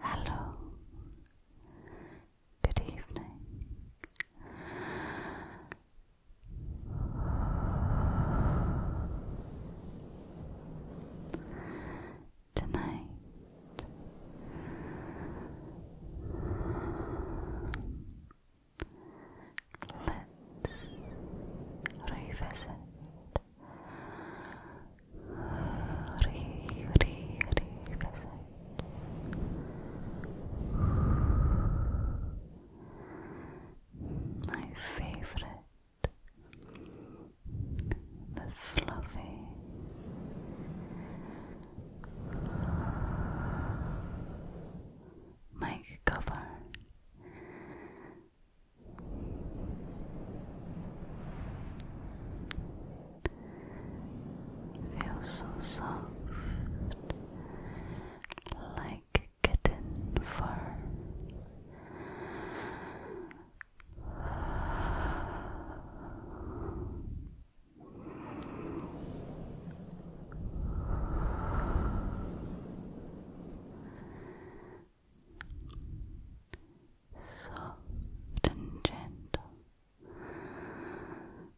Hello. Good evening. Tonight Let's revisit. Re, re, revisit. My favorite, the fluffy, my cover Feels so soft, like kitten fur soft and gentle,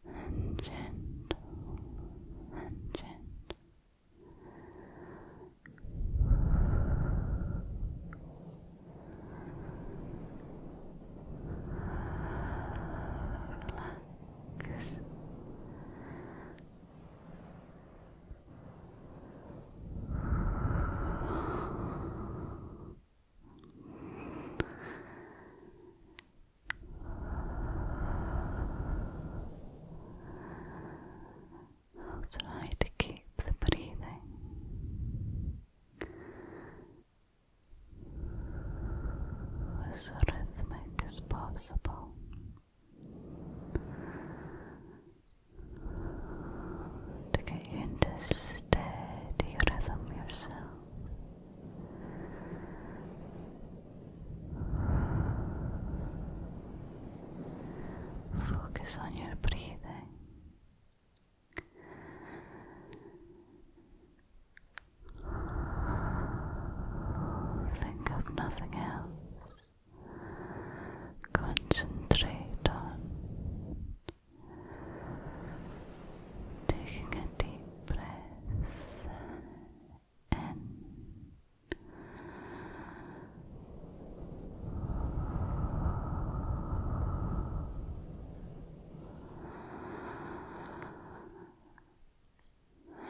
and gentle, and gentle. Relax. I'll try to keep the breathing as rhythmic as possible to get you into steady rhythm yourself. Focus on your breathing. Think of nothing else. Concentrate on taking a deep breath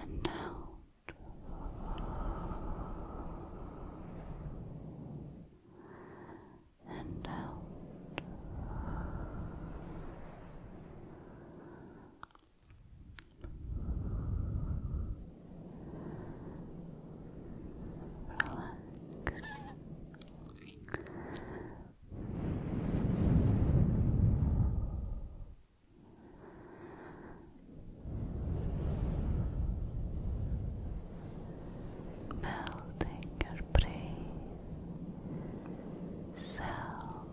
and now and out. Relax melting your brain cell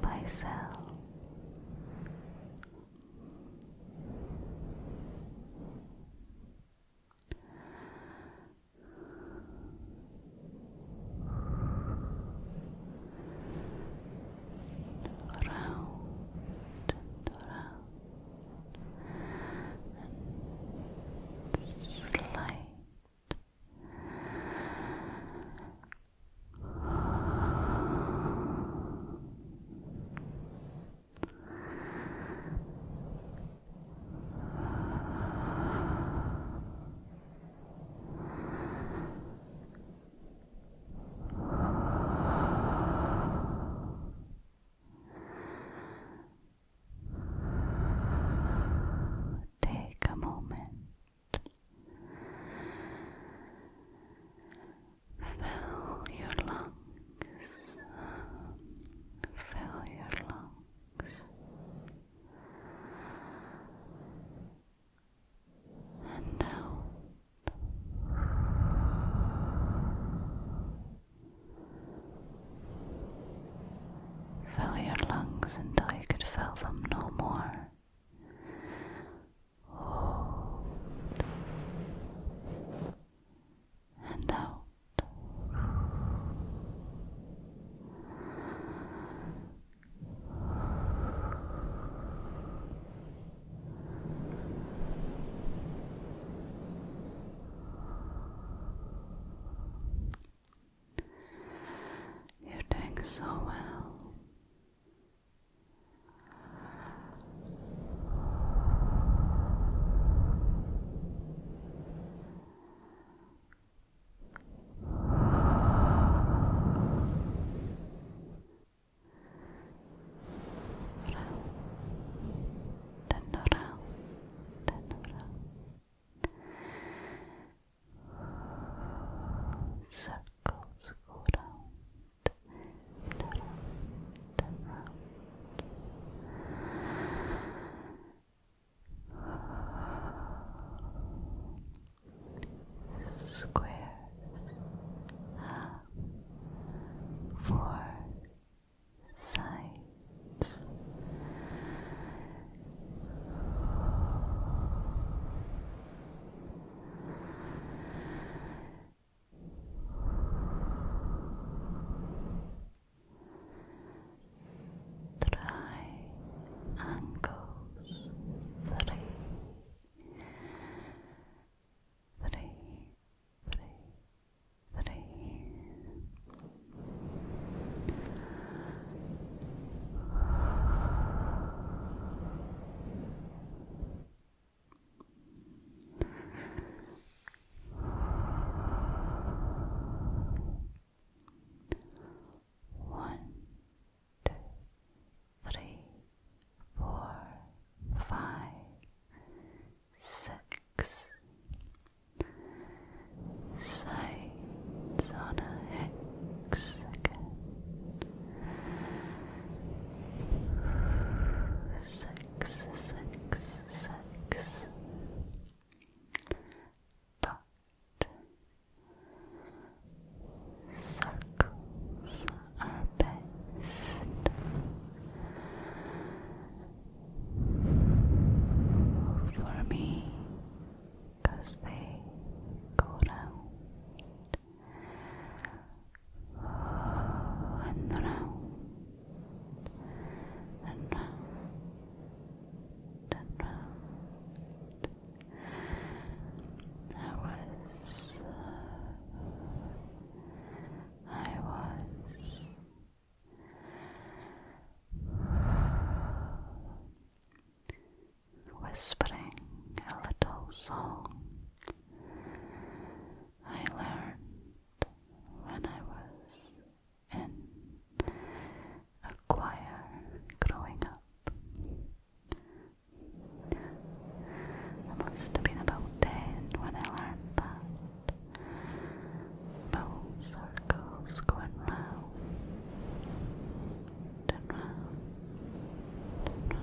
by cell around and and slide Take a moment, fill your lungs, fill your lungs and out. Fill your lungs until you could fill them no more. and out. You're doing so well. Round and around and around. Circles go round and around and round squares have four triangles, three, three, three, three. One, two, three, four, five, six. Sides on a Six, six, six. But circles are best. For me, cause they go and round and round and round. I was, I was. Whispering a little song I learned when I was in a choir growing up. must have been about ten when I learned that. Full circles going round and round and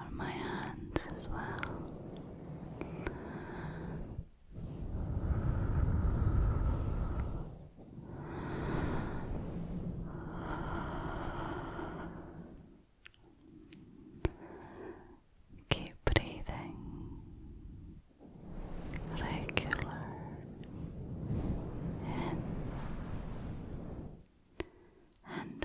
Or my hands as well. Keep breathing regular in and out. In. Out.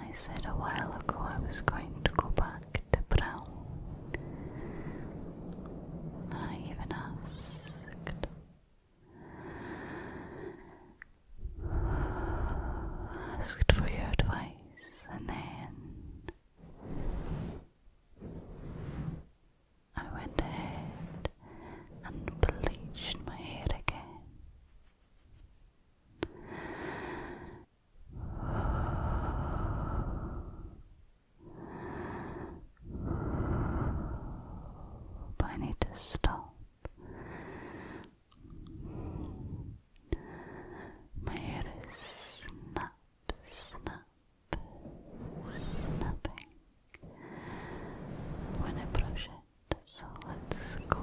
I said a while ago I was going to go back to Brown. I even asked. Asked for your advice, and then I went ahead and bleached my hair again. But I need to stop. My hair is snap, snap, snapping when I brush it. So let's go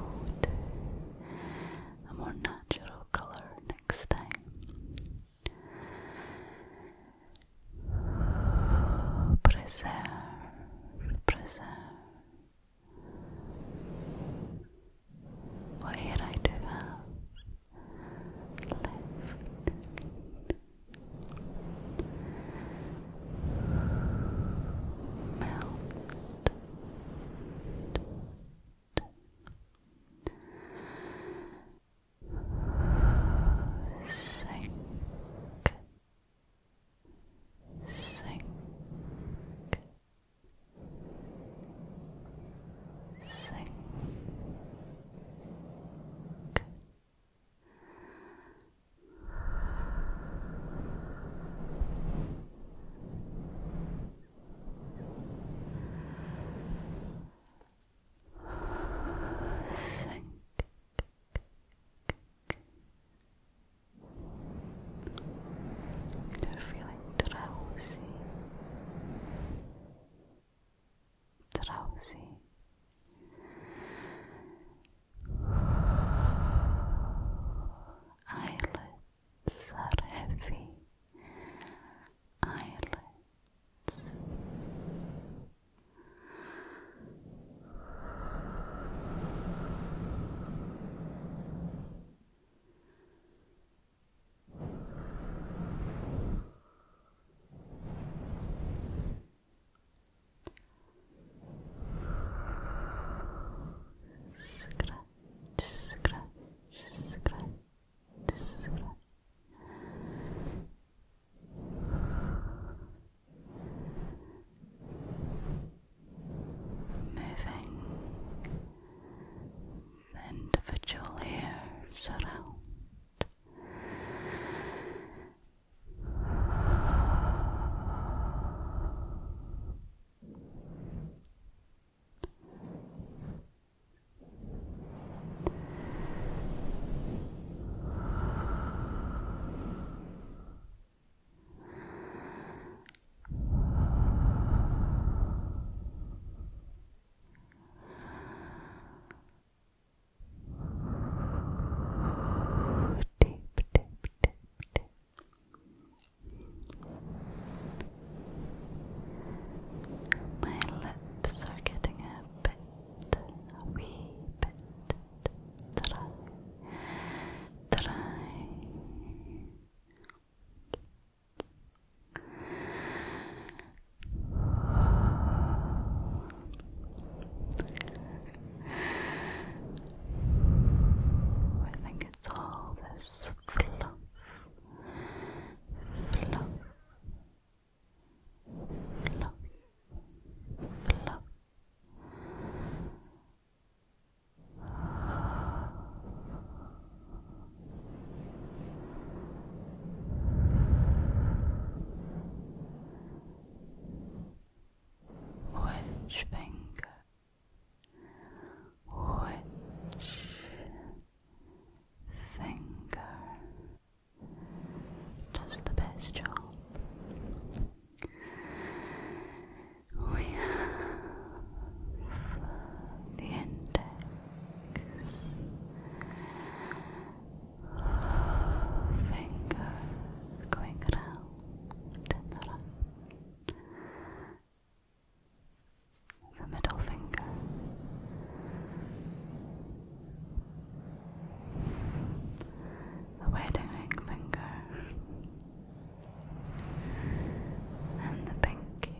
a more natural colour next time. Preserve, preserve. Well, here I do left melt. Sink, sink, sink, Sink. You're feeling drowsy, drowsy, Eyelids are heavy. Eyelids. Scratch, scratch, scratch, scratch. Moving individual hairs around Deep, deep, my lips are getting a bit, a wee bit dry, dry. I think it's all this fluff, fluff, fluff, fluff which finger, which finger does the best job. We have the index finger going round. The middle finger. The wedding ring finger. And the pinky.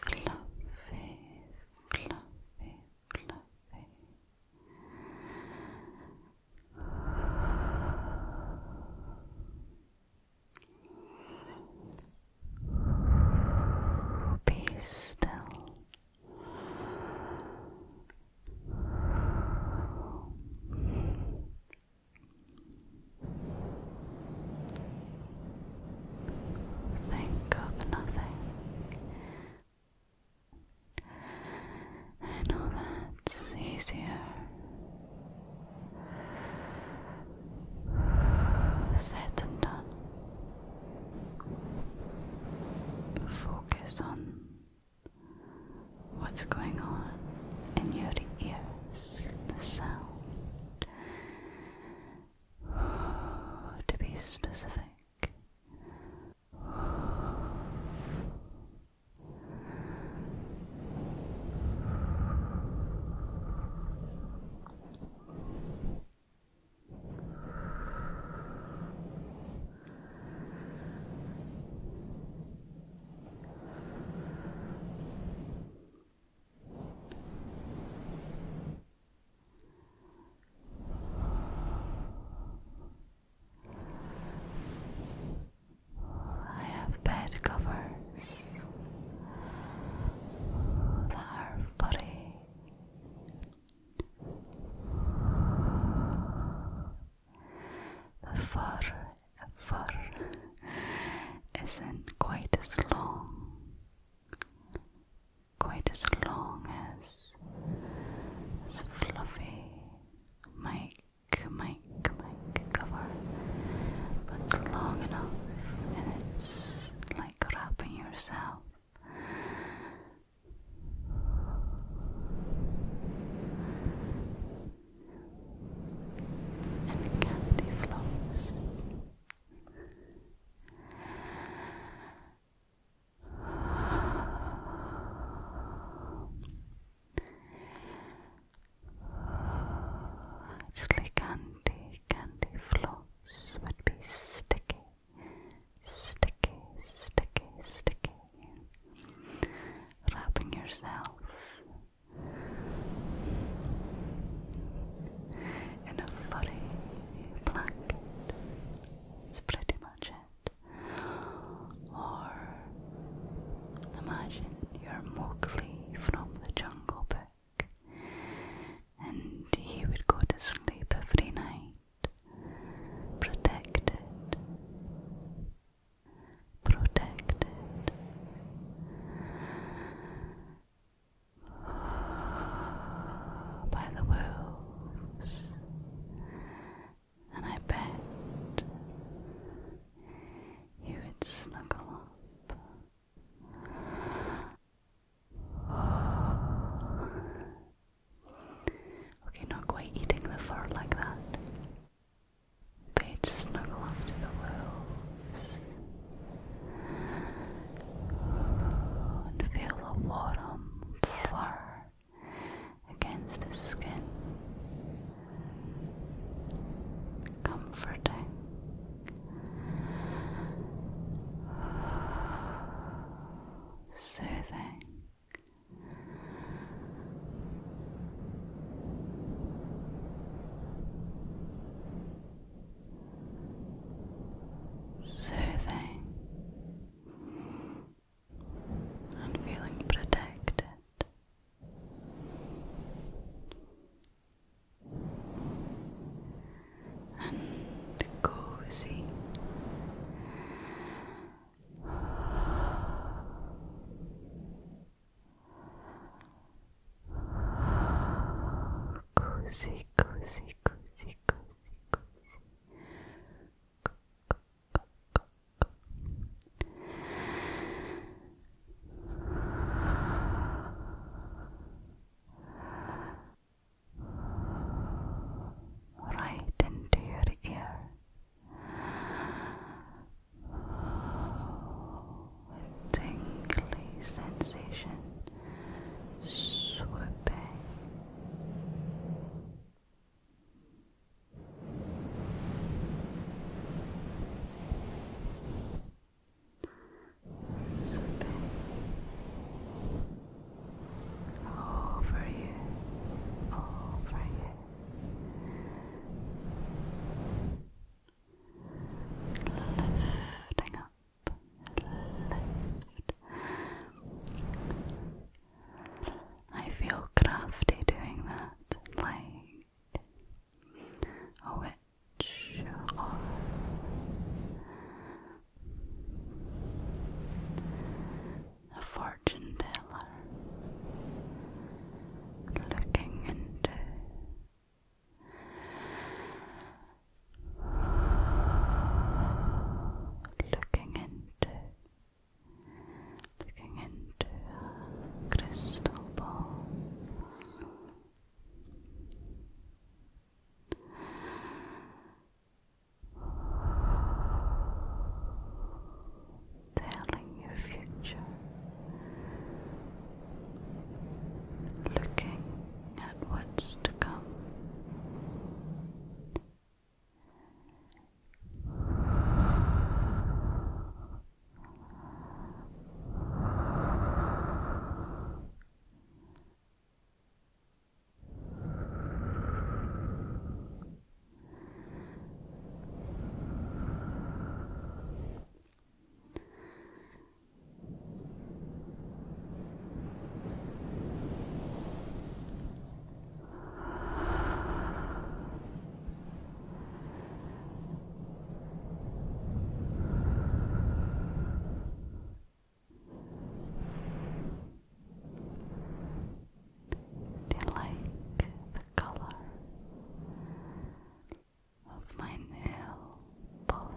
fluffy, fluffy, fluffy. Be still. Think of nothing. I know that's easier. Said and done. Focus on what's going on in your ears the sound. To be specific, I have bed covers that are furry. The fur isn't quite as long, quite as long as, as fluffy mic, mic, mic cover, but it's long enough and it's like wrapping yourself and cavity flows. Actually, candy, candy floss would be sticky, sticky, sticky, sticky. Wrapping yourself in a furry blanket. It's pretty much it. Or imagine you're Mowgli from the Jungle Book, and he would go to sleep every night, protected protected. By the wolves, and I bet you would snuggle up okay, not quite eating the fur like that Fade to snuggle up to the waves and feel the water fur against the skin. Comforting. Soothing soothing and feeling protected. And cozy cozy, cozy, cozy, cozy, cozy. Right into your ear with tingly sensation swooping. Swooping over you, over you, lifting up, I feel crafty doing that, like a witch a fortune teller looking into. Looking into, looking into a crystal ball, telling your future, looking at what's to come. Do you like the color? of my nail polish.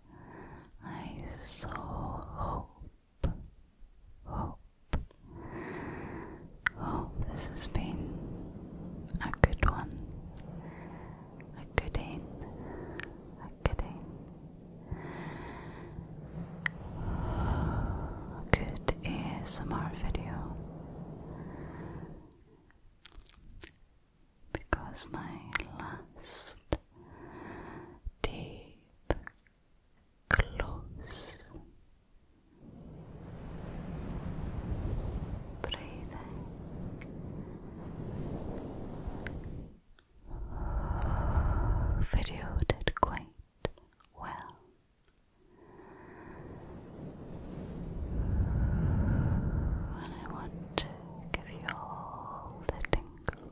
I so hope, hope, hope this has been a good one, a good in, a good in, a good ASMR video because my last deep close breathing video did quite well. And I want to give you all the tingles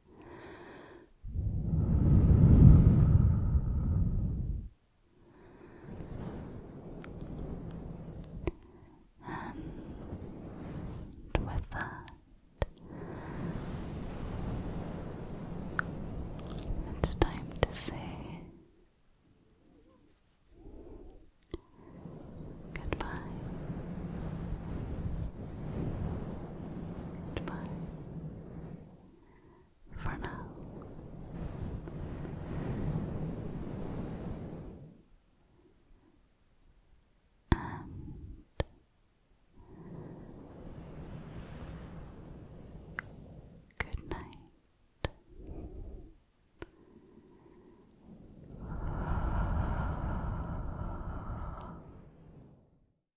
And with that, it's time to say goodbye. Goodbye for now. And good night.